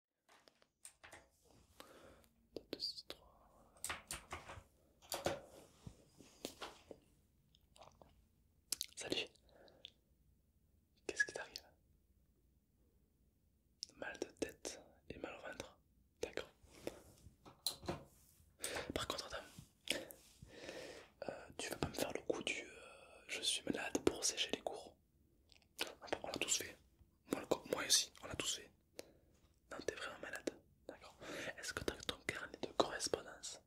2, 3. Salut Qu'est-ce qui t'arrive Mal de tête et mal au ventre. D'accord. Par contre, tu euh, tu veux pas me faire le coup du euh, je suis malade pour sécher les cours On l'a tous fait. Moi, moi aussi, on l'a tous fait. Non, t'es vraiment malade. D'accord. Est-ce que t'as ton carnet de correspondance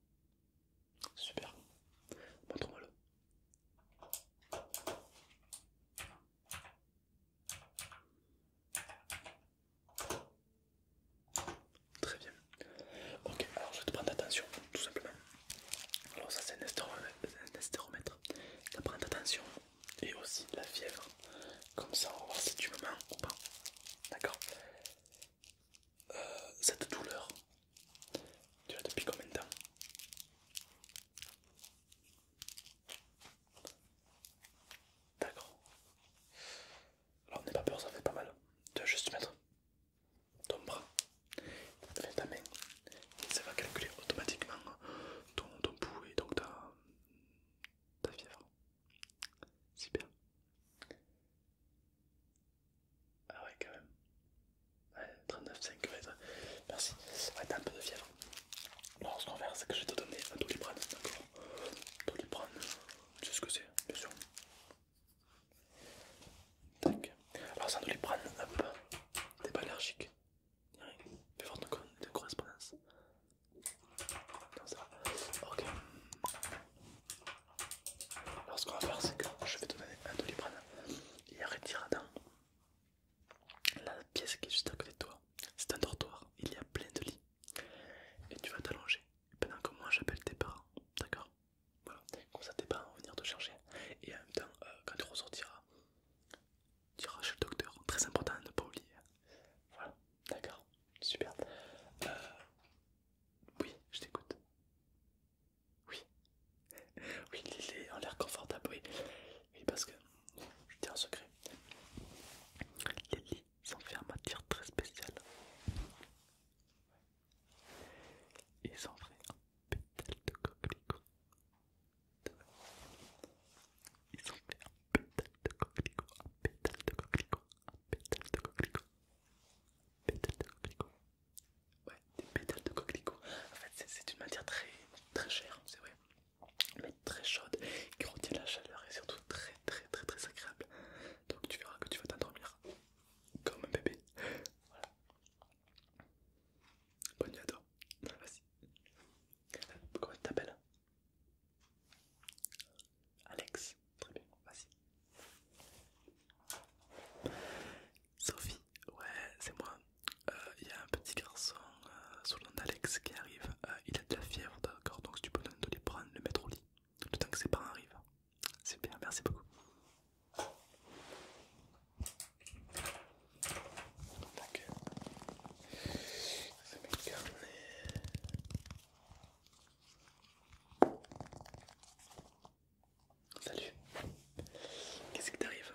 Super. Montre-moi-le. Très bien. Ok, alors je vais te prendre attention, tout simplement. Alors ça c'est un, estéromètre, tu prendre attention et aussi la fièvre. Comme ça, on va voir si tu me mens ou pas. D'accord euh, Cette douleur, tu as depuis combien de temps D'accord. Alors n'aie pas peur, ça fait pas mal. Tu vas juste mettre ton bras, mettre ta main, et ça va calculer automatiquement ton, ton et donc ta, ta fièvre. Super Ah ouais quand même. Ouais, 39,5 ça. merci. Ouais, t'as un peu de fièvre. Alors ce qu'on va faire c'est que je vais te donner un doliprane, d'accord Doliprane, tu sais ce que c'est, bien sûr. Tac. Alors c'est un doliprane un t'es pas allergique il y a de correspondance. Non, ça Ok. Alors, ce qu'on va faire, c'est que je vais te donner un doliprane et Il dans la pièce qui est juste à côté de toi. C'est un dortoir, il y a plein de lits. Et tu vas t'allonger pendant que moi j'appelle tes parents. D'accord Voilà. Comme ça, tes parents vont venir te chercher. Et en même temps, euh, quand tu ressortiras, tu chez le docteur. Très important à ne pas oublier. Voilà, d'accord, super. Euh... Oui, je t'écoute. Oui, oui, il lits en l'air confortable, oui. Oui, parce que je dis un secret. Les lits sont faits en matière très spéciale. Ils sont faits en pétales de coquelicot ont fait un pétale de coquelicot, un pétale de coquelicot, un pétale de coquelicot, de coquelicot. Ouais, des pétales de coquelicot. En fait, c'est une matière très chère, hein, c'est vrai, mais très chaude, qui retient la chaleur et surtout très très très très agréable. Donc tu verras que tu vas t'endormir comme un bébé. Voilà. Bonne nuit à toi. Comment tu Alex. Très bien, vas-y. Sophie, ouais, c'est moi. Euh, il y a un petit garçon euh, sous le nom d'Alex qui arrive. Euh, il a de la fièvre, d'accord Donc si tu peux de les prendre, le mettre au lit. Le temps que ses parents arrivent. Super, merci beaucoup. Salut. Qu'est-ce qui t'arrive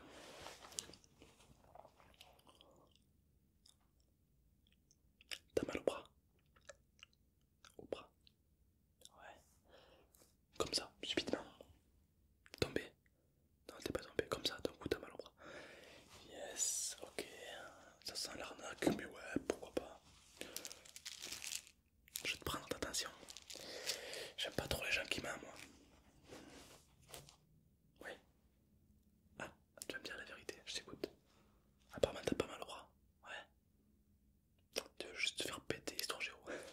T'as mal au bras Au bras Ouais. Comme ça, subitement. Tombé Non, t'es pas tombé comme ça, d'un coup t'as mal au bras. Yes, ok. Ça sent l'arnaque, mais ouais, pourquoi pas. Je vais te prendre attention. J'aime pas trop les gens qui m'aiment, moi. Oui. Ah, tu vas me dire la vérité, je t'écoute. Apparemment, t'as pas mal au bras. Ouais. Tu veux juste te faire péter, histoire géo.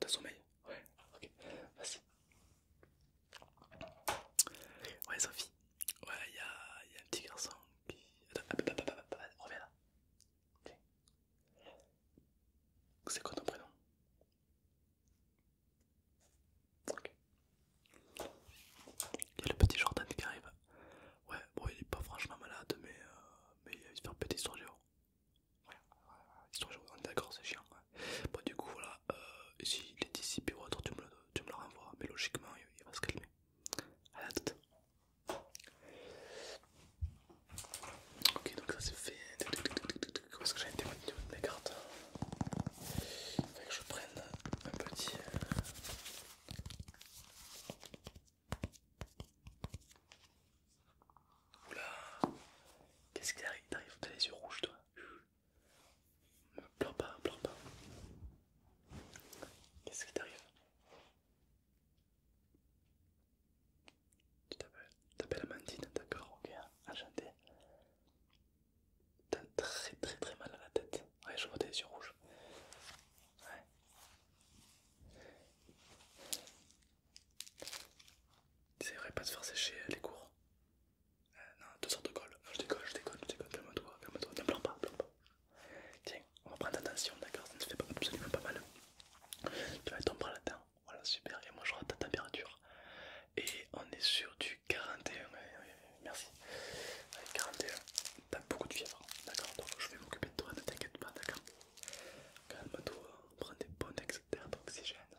T'as sommeil Ouais, ok, vas-y. Ouais, Sophie, ouais, il y a, un petit garçon qui. Attends, reviens là. Ok. C'est quoi ton prénom Ok. Il y a le petit Jordan qui arrive. Ouais, bon, il est pas franchement malade, mais, euh, mais il a un faire péter sur Géo. Voilà, histoire je... on est d'accord, c'est chiant. du coup, voilà, euh, il est dissipé ou autre, tu me, le, tu me le renvoies, mais logiquement, il, va se calmer. À la toute Ok, donc ça c'est fait. Où est-ce que j'ai un du niveau de mes cartes Il que je prenne un petit. Euh, Oula, qu'est-ce qui t'arrive T'arrives, t'as les yeux rouges toi. Pleure pas, pleure pas. Qu'est-ce qui t'arrive Tu t'appelles Amandine, d'accord, ok, hein. enchanté. T'as très très très mal à la tête. Ouais, je vois tes yeux rouges. Ouais. C'est vrai, pas de faire sécher euh, les cours. Euh, non, deux sortes de colle. je déconne je décolle, je Calme-toi, calme-toi. Ne pleure pas, Tiens, on va prendre attention, d'accord Ça ne fait pas absolument pas mal. Tu vas tomber là-dedans. Voilà, super. Et moi, je rate ta température. Et on est sur du 41. merci. 41. T'as beaucoup de fièvre, d'accord je vais m'occuper de toi, ne t'inquiète pas, d'accord Calme-toi. Prends des bonnes excès d'oxygène.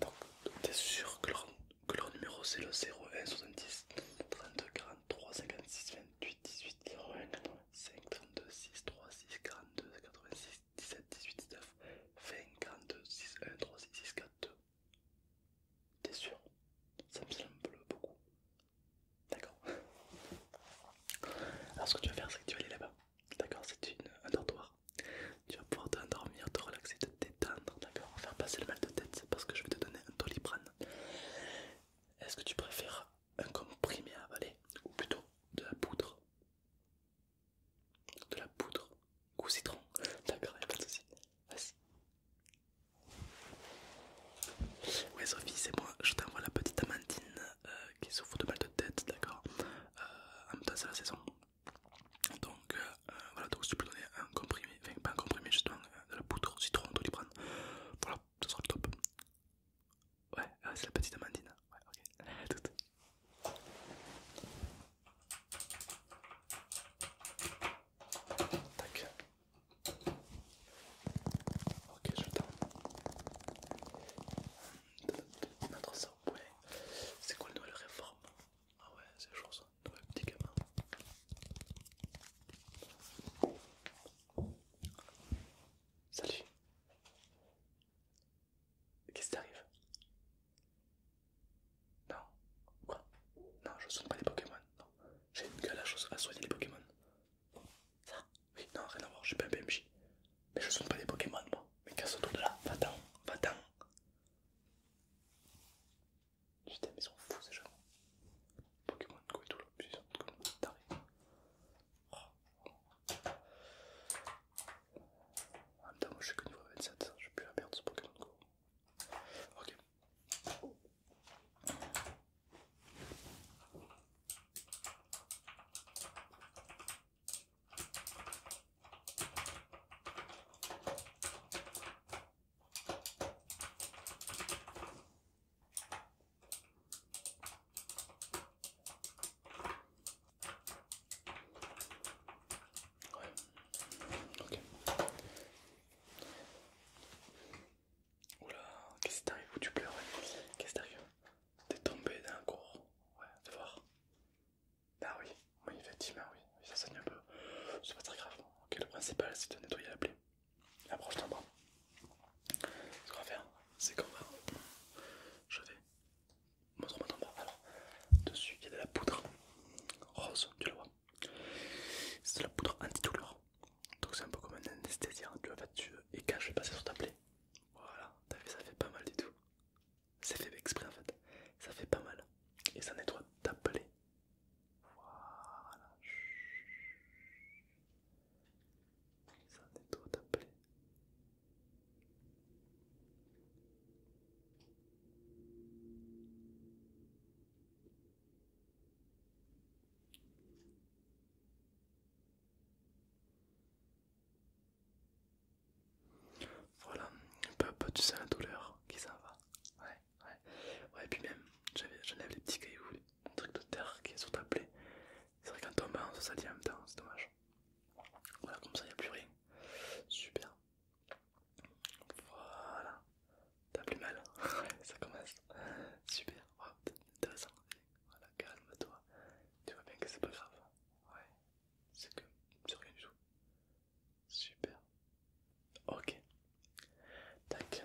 Donc, t'es sûr que leur, numéro c'est le 01 70 32 43 56 28 18 01 5 32 6 3 6 42 86 17 18 19 20 42 6 1 3 6 6 4 2 T'es sûr Ça me semble beaucoup. D'accord. Alors ce que tu vas faire c'est que tu vas aller là-bas. D'accord, c'est un dortoir. Tu vas pouvoir t'endormir, te relaxer, te détendre, d'accord Faire passer le mal de tête parce que je vais te donner un doliprane. Est-ce que tu préfères un comprimé à avaler ou plutôt de la poudre De la poudre ou citron D'accord, y'a pas de Vas-y. Ouais, Sophie, c'est moi, je t'envoie la petite amandine euh, qui souffre de mal de tête, d'accord euh, En même temps, c'est la saison, donc euh, euh, voilà, donc si tu peux donner un comprimé, enfin pas un comprimé, justement euh, de la poudre citron doliprane, voilà, ça sera le top. Ouais, ah, c'est la petite Amandine. Hein. Ouais, ok, à toute. Tac. Ok, j'attends. Notre ça ouais C'est quoi le nouvel réforme ah ouais, c'est chaud ça, petit gamin. Salut. Qu'est-ce qui t'arrive Non. Quoi Non, je soigne pas des Pokémon. Non. J'ai une gueule à soigner les Pokémon. Ça Oui, non, rien à voir, je suis pas un BMJ. Mais je soigne pas des Pokémon, moi. Mais casse autour de là, va-t'en, va-t'en. Putain, mais ils sont fous ces gens. Pokémon Go et tout là, puis ils sont comme des tarés. Oh. En même temps, moi je suis que niveau 27, ça. je suis plus à perdre ce Pokémon Go. Ok. Ouais. Oula, qu'est-ce qui t'arrive où tu pleures Qu'est-ce qui t'arrive T'es tombé d'un coup Ouais, fais voir. Ah oui, oui, effectivement, oui, ça saigne un peu. C'est pas très grave. Hein. ok le principal c'est de nettoyer la plaie. Approche ton bras. Ce qu'on va faire, c'est qu'on va. Je vais. Montre-moi ton bras. Alors, dessus il y a de la poudre rose, tu la vois. C'est de la poudre antidouleur. Donc c'est un peu comme un anesthésiant. Tu vas faire dessus et quand je vais passer sur ta plaie. Voilà, ça fait pas mal du tout. C'est fait exprès en fait. Ça fait pas mal. Et ça nettoie ta d'appeler. Voilà. Ça nettoie ta d'appeler. Voilà, peu peu tu sens la douleur qui s'en va. Ouais, ouais. Ouais, et puis même, j'enlève les petits cailloux, un truc de terre qui est sur ta plaie. C'est vrai qu'en tombant, ça s'allie en même temps, c'est dommage. Voilà, comme ça, il n'y a plus rien. Super. Voilà. T'as plus mal. Hein. ça commence. Super. Oh, intéressant. Voilà, calme-toi. Tu vois bien que c'est pas grave. Ouais, c'est que c'est rien du tout. Super. Ok. Tac.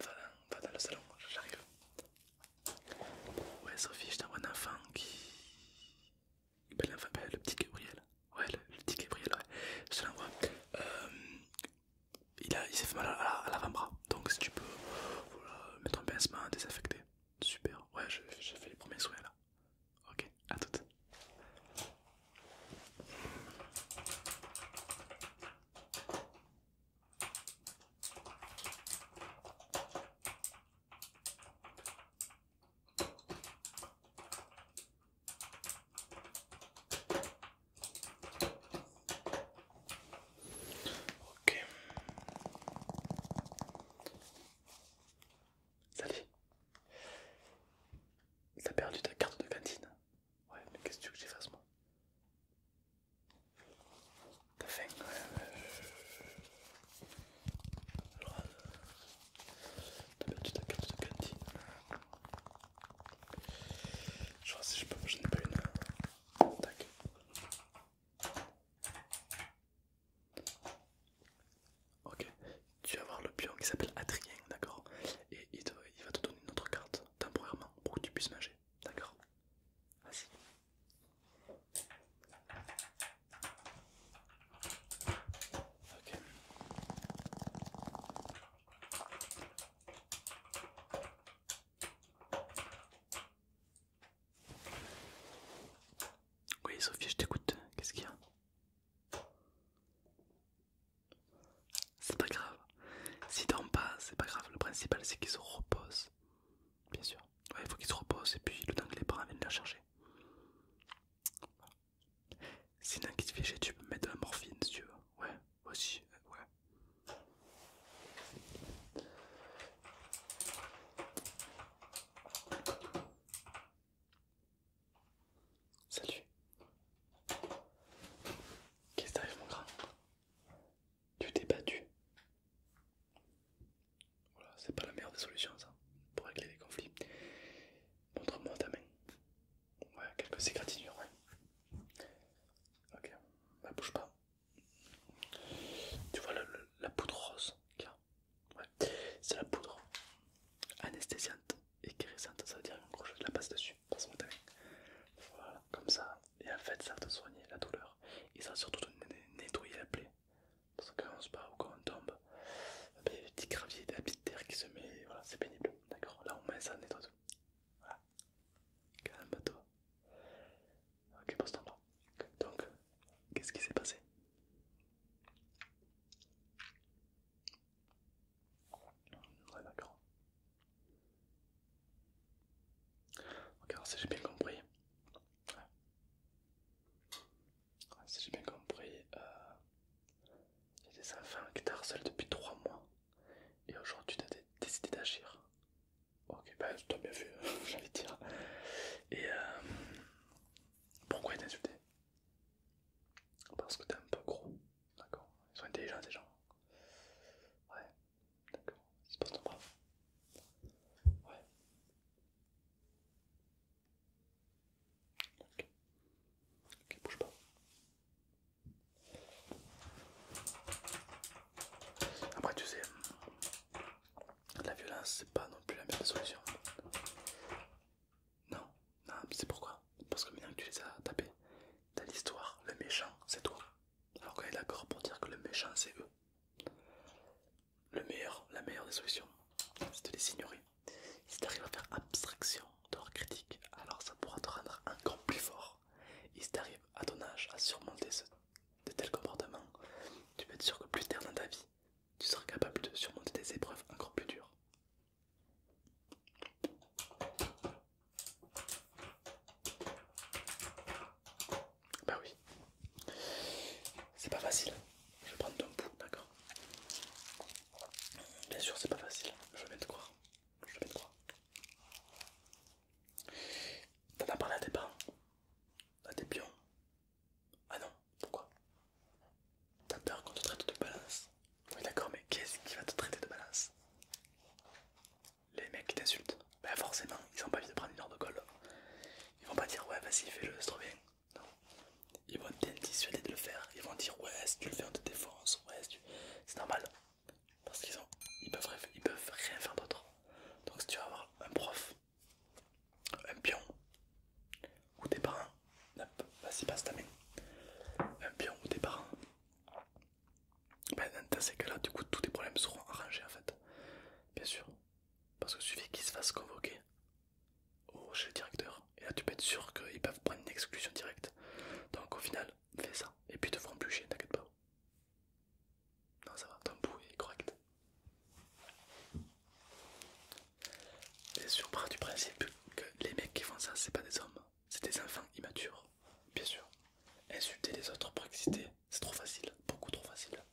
Va, dans le salon, j'arrive. Ouais Sophie, je t'envoie un enfant qui... Ben, le petit Gabriel. Ouais, le, petit Gabriel, ouais. Je te l'envoie. Euh, il, s'est fait mal à, l'avant-bras. Donc si tu peux mettre un pincement, désinfecter. Super, ouais, j'ai fait les premiers souhaits là. Ok, à toute. Ok. Salut. T'as perdu ta carte de cantine Ouais, mais qu'est-ce que tu veux que j'efface moi T'as faim Ouais, t'as perdu ta carte de cantine. Je vois si je peux, n'ai pas une. Tac. Ok, tu vas voir le pion qui s'appelle Adrien, d'accord Et il, va te donner une autre carte temporairement pour que tu puisses manger, d'accord Vas-y. Ok. Oui, Sophie, je t'écoute. Qu'est-ce qu'il y a C'est pas grave. Si t'en pas, c'est pas grave. Le principal, c'est qu'ils se reposent. Bien sûr. Ouais, il faut qu'ils se reposent et puis le temps que les parents viennent la chercher. Sinon, quest te que tu peux mettre de la morphine si tu veux. Ouais, aussi, ouais. Salut. Qu'est-ce qui t'arrive mon grand Tu t'es battu. Voilà, c'est pas la meilleure des solutions ça, pour régler les conflits. Montre-moi ta main. Ouais, quelques égratignures, ouais. Ok, bah bouge pas, tu vois la poudre rose ouais. C'est la poudre anesthésiante et guérissante, ça veut dire qu'on gros je la passe dessus, Voilà, comme ça, et en fait ça va te soigner la douleur et ça va surtout te nettoyer la plaie. Parce que quand on se bat ou quand on tombe, eh il y a des petits graviers, des terre qui se met, voilà, c'est pénible, d'accord Là on met ça, nettoie tout. Voilà. Calme-toi. Ok, passe ton bras. Donc, qu'est-ce qui s'est passé Ouais, d'accord. Ok, alors si j'ai bien compris. si j'ai bien compris, euh, il y a des enfants qui t'harcèlent depuis 3 mois et aujourd'hui tu as décidé d'agir. Ok, bah toi bien vu, j'ai envie de dire. Et euh, pourquoi ils insulté Parce que t'es un peu gros, d'accord Ils sont intelligents ces gens. Ouais, d'accord, c'est pas ton Ouais. ok, bouge pas. Après, tu sais, la violence, c'est pas non plus la meilleure solution. Non, non, c'est pourquoi Parce que maintenant que tu les as tapés, dans l'histoire, le méchant, c'est toi. Alors qu'on est d'accord pour dire que le méchant, c'est eux. Le meilleur, la meilleure des solutions, c'est de les ignorer. Si t'arrives à faire abstraction de leur critique, alors ça pourra te rendre encore plus fort. Et si t'arrives à ton âge à surmonter ce de tels comportements, tu peux être sûr que plus tard dans ta vie, tu seras capable de surmonter des épreuves encore plus dures. Bah oui, c'est pas facile. Je vais prendre ton bout, d'accord Bien sûr, c'est pas facile, je vais te croire. Je vais te croire. T'en as parlé à tes parents À tes pions Ah non, pourquoi T'as peur qu'on te traite de balance Oui d'accord, mais qu'est-ce qui va te traiter de balance Les mecs qui t'insultent ben, forcément, ils ont pas envie de prendre une heure de colle. Ils vont pas dire ouais vas-y fais-le, c'est trop bien. Non. Ils vont bien dissuader de le faire. Ils vont dire ouais si tu le fais on te défonce, ouais tu... C'est normal. Parce qu'ils ont, ils peuvent, ils peuvent rien faire d'autre. Donc si tu vas avoir un prof, un pion, ou tes parents, vas-y passe ta main, un pion ou des parents, ben, dans ces cas-là, du coup, tous tes problèmes seront arrangés en fait. Bien sûr. Parce que suffit qu'ils se fassent convoquer au, chez directeur. Et là, tu peux être sûr qu'ils peuvent prendre une exclusion directe. Donc au final, fais ça. Et puis te feront plus t'inquiète pas. Non, ça va, ton est correct. sur du principe que les mecs qui font ça, c'est pas des hommes, hein. c'est des enfants immatures, bien sûr. Insulter les autres pour exciter, c'est trop facile, beaucoup trop facile.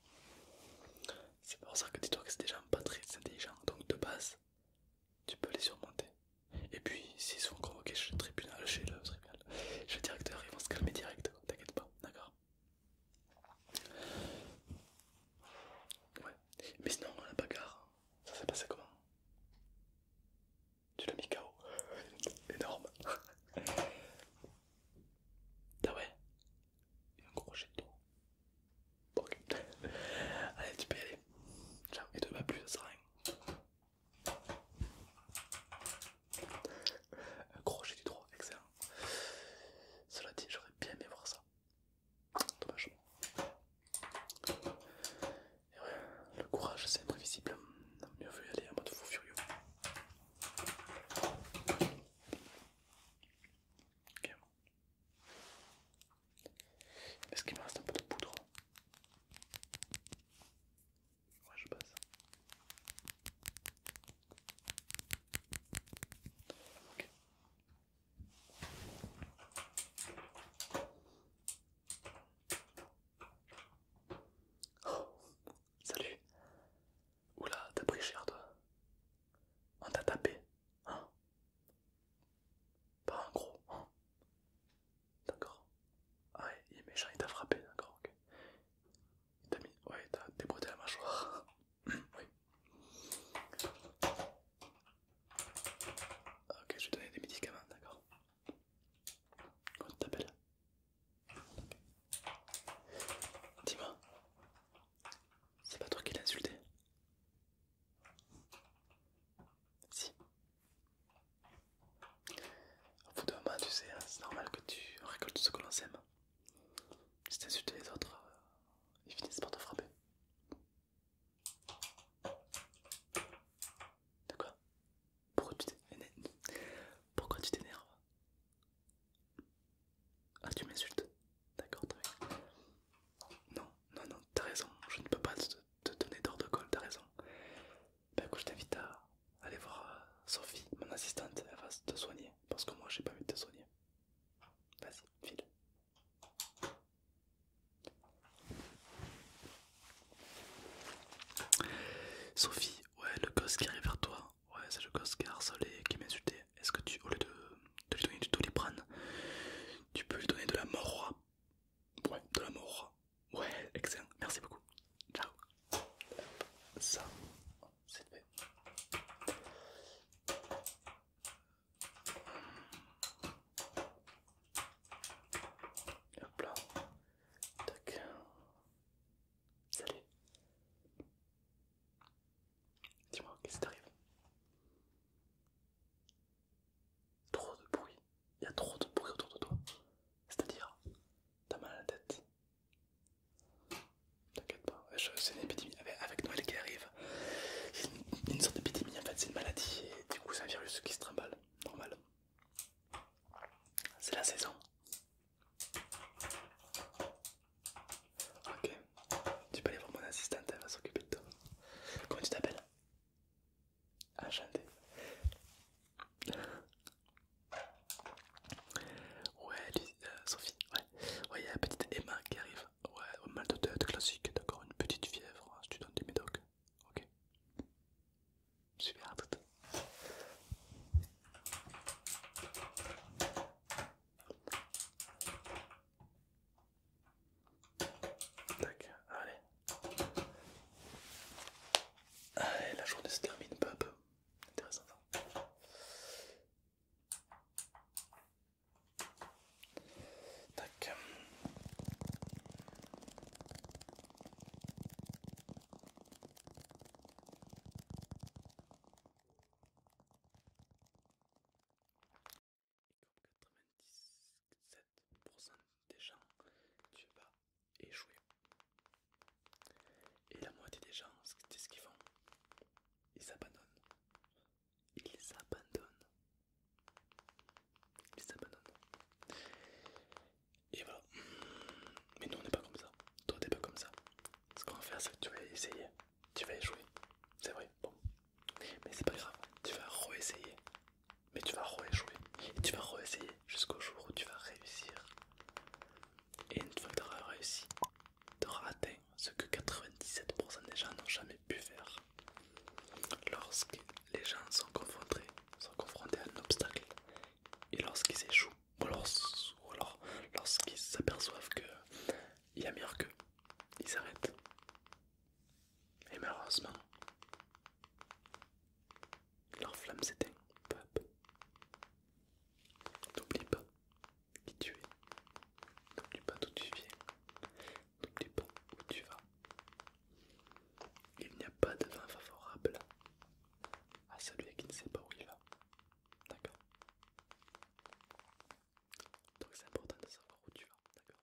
C'est pour ça que dis-toi que c'est des gens pas très intelligents, donc de base, tu peux les surmonter. Et puis, s'ils sont convoqués chez le tribunal, chez le tribunal, je suis directeur, ils vont se calmer direct, t'inquiète pas, d'accord Ouais, mais sinon, la bagarre, ça s'est passé comment Tu l'as mis KO Énorme Ah ouais a un gros jet de ok. Allez, tu peux y aller. Ciao, et te va plus, ça sert à rien. Un crochet du droit, excellent. Cela dit, j'aurais bien aimé voir ça. Dommage. Et le courage c'est imprévisible. Mieux vaut y aller en mode fou furieux. Est-ce qu'il me reste un peu de poudre Ouais, je passe. salut. Oula, t'as pris cher toi. On t'a tapé, hein Pas un gros, hein. D'accord. Ah il est méchant, il t'a frappé, d'accord, ok. Il t'a mis. Ouais, il t'a débrouillé la mâchoire. oui. Ah, ok, je vais donner des médicaments, d'accord. Quand tu t'appelles Dis-moi, c'est pas toi qui l'as insulté Si. Au bout d'un moment, tu sais, hein, c'est normal que tu récoltes ce que l'on s'aime. Si t'insultes les autres, euh, ils finissent par te frapper. De quoi Pourquoi tu t'énerves Ah, tu m'insultes D'accord, très bien. Non, non, non, t'as raison, je ne peux pas te, donner d'or de col. t'as raison. Bah écoute, je t'invite à aller voir euh, Sophie, mon assistante, elle va te soigner parce que moi j'ai pas envie de te soigner. Vas-y, file. Sophie, ouais, le gosse qui arrive vers toi, ouais, c'est le gosse qui a harcelé, qui insulté Est-ce que tu, au lieu de, lui donner du doliprane, tu peux lui donner de la roi Ouais, de l'amour Ouais, excellent. Merci beaucoup. Ciao. Ça, c'est fait. Hop là. Tac. Salut. Dis-moi, qu'est-ce qui t'arrive Trop de bruit il y a trop de bruit autour de toi. C'est-à-dire, t'as mal à la tête. T'inquiète pas, c'est une épidémie. Ah, avec Noël qui arrive, C'est une sorte d'épidémie en fait, c'est une maladie et du coup c'est un virus qui se trimballe, normal. C'est la saison. Ok, tu peux aller voir mon assistante, elle va s'occuper de toi. Comment tu t'appelles Enchanté. Ouais, euh, Sophie, ouais. Ouais, il y a la petite Emma qui arrive. Ouais, mal de tête classique, d'accord, une petite fièvre, je hein, si tu donnes des médocs. Ok. Super, tout. Tac, allez. Allez, ah, la journée se termine peu à peu. Intéressant ça. Tac des gens, tu vas échouer. Et la moitié des gens, c'est ce qu'ils font. Ils abandonnent. Ils abandonnent. Ils abandonnent. Et voilà. Mais nous, on n'est pas comme ça. Toi, t'es pas comme ça. Ce qu'on va faire, c'est que tu vas essayer. Tu vas échouer. C'est vrai. Bon. Mais c'est pas grave. Tu vas re-essayer mais tu vas re-échouer et tu vas re-essayer jusqu'au jour où tu vas réussir. Et une fois que tu auras réussi, tu auras atteint ce que 97% des gens n'ont jamais pu faire. Lorsque les gens sont confrontés, sont confrontés à un obstacle, et lorsqu'ils échouent, ou alors, lorsqu'ils s'aperçoivent qu'il y a mieux qu'eux, ils s'arrêtent et malheureusement, leur flamme s'éteint peu à peu. N'oublie pas qui tu es, n'oublie pas d'où tu viens, n'oublie pas où tu vas. Il n'y a pas de vent favorable à celui qui ne sait pas où il va. D'accord Donc c'est important de savoir où tu vas, d'accord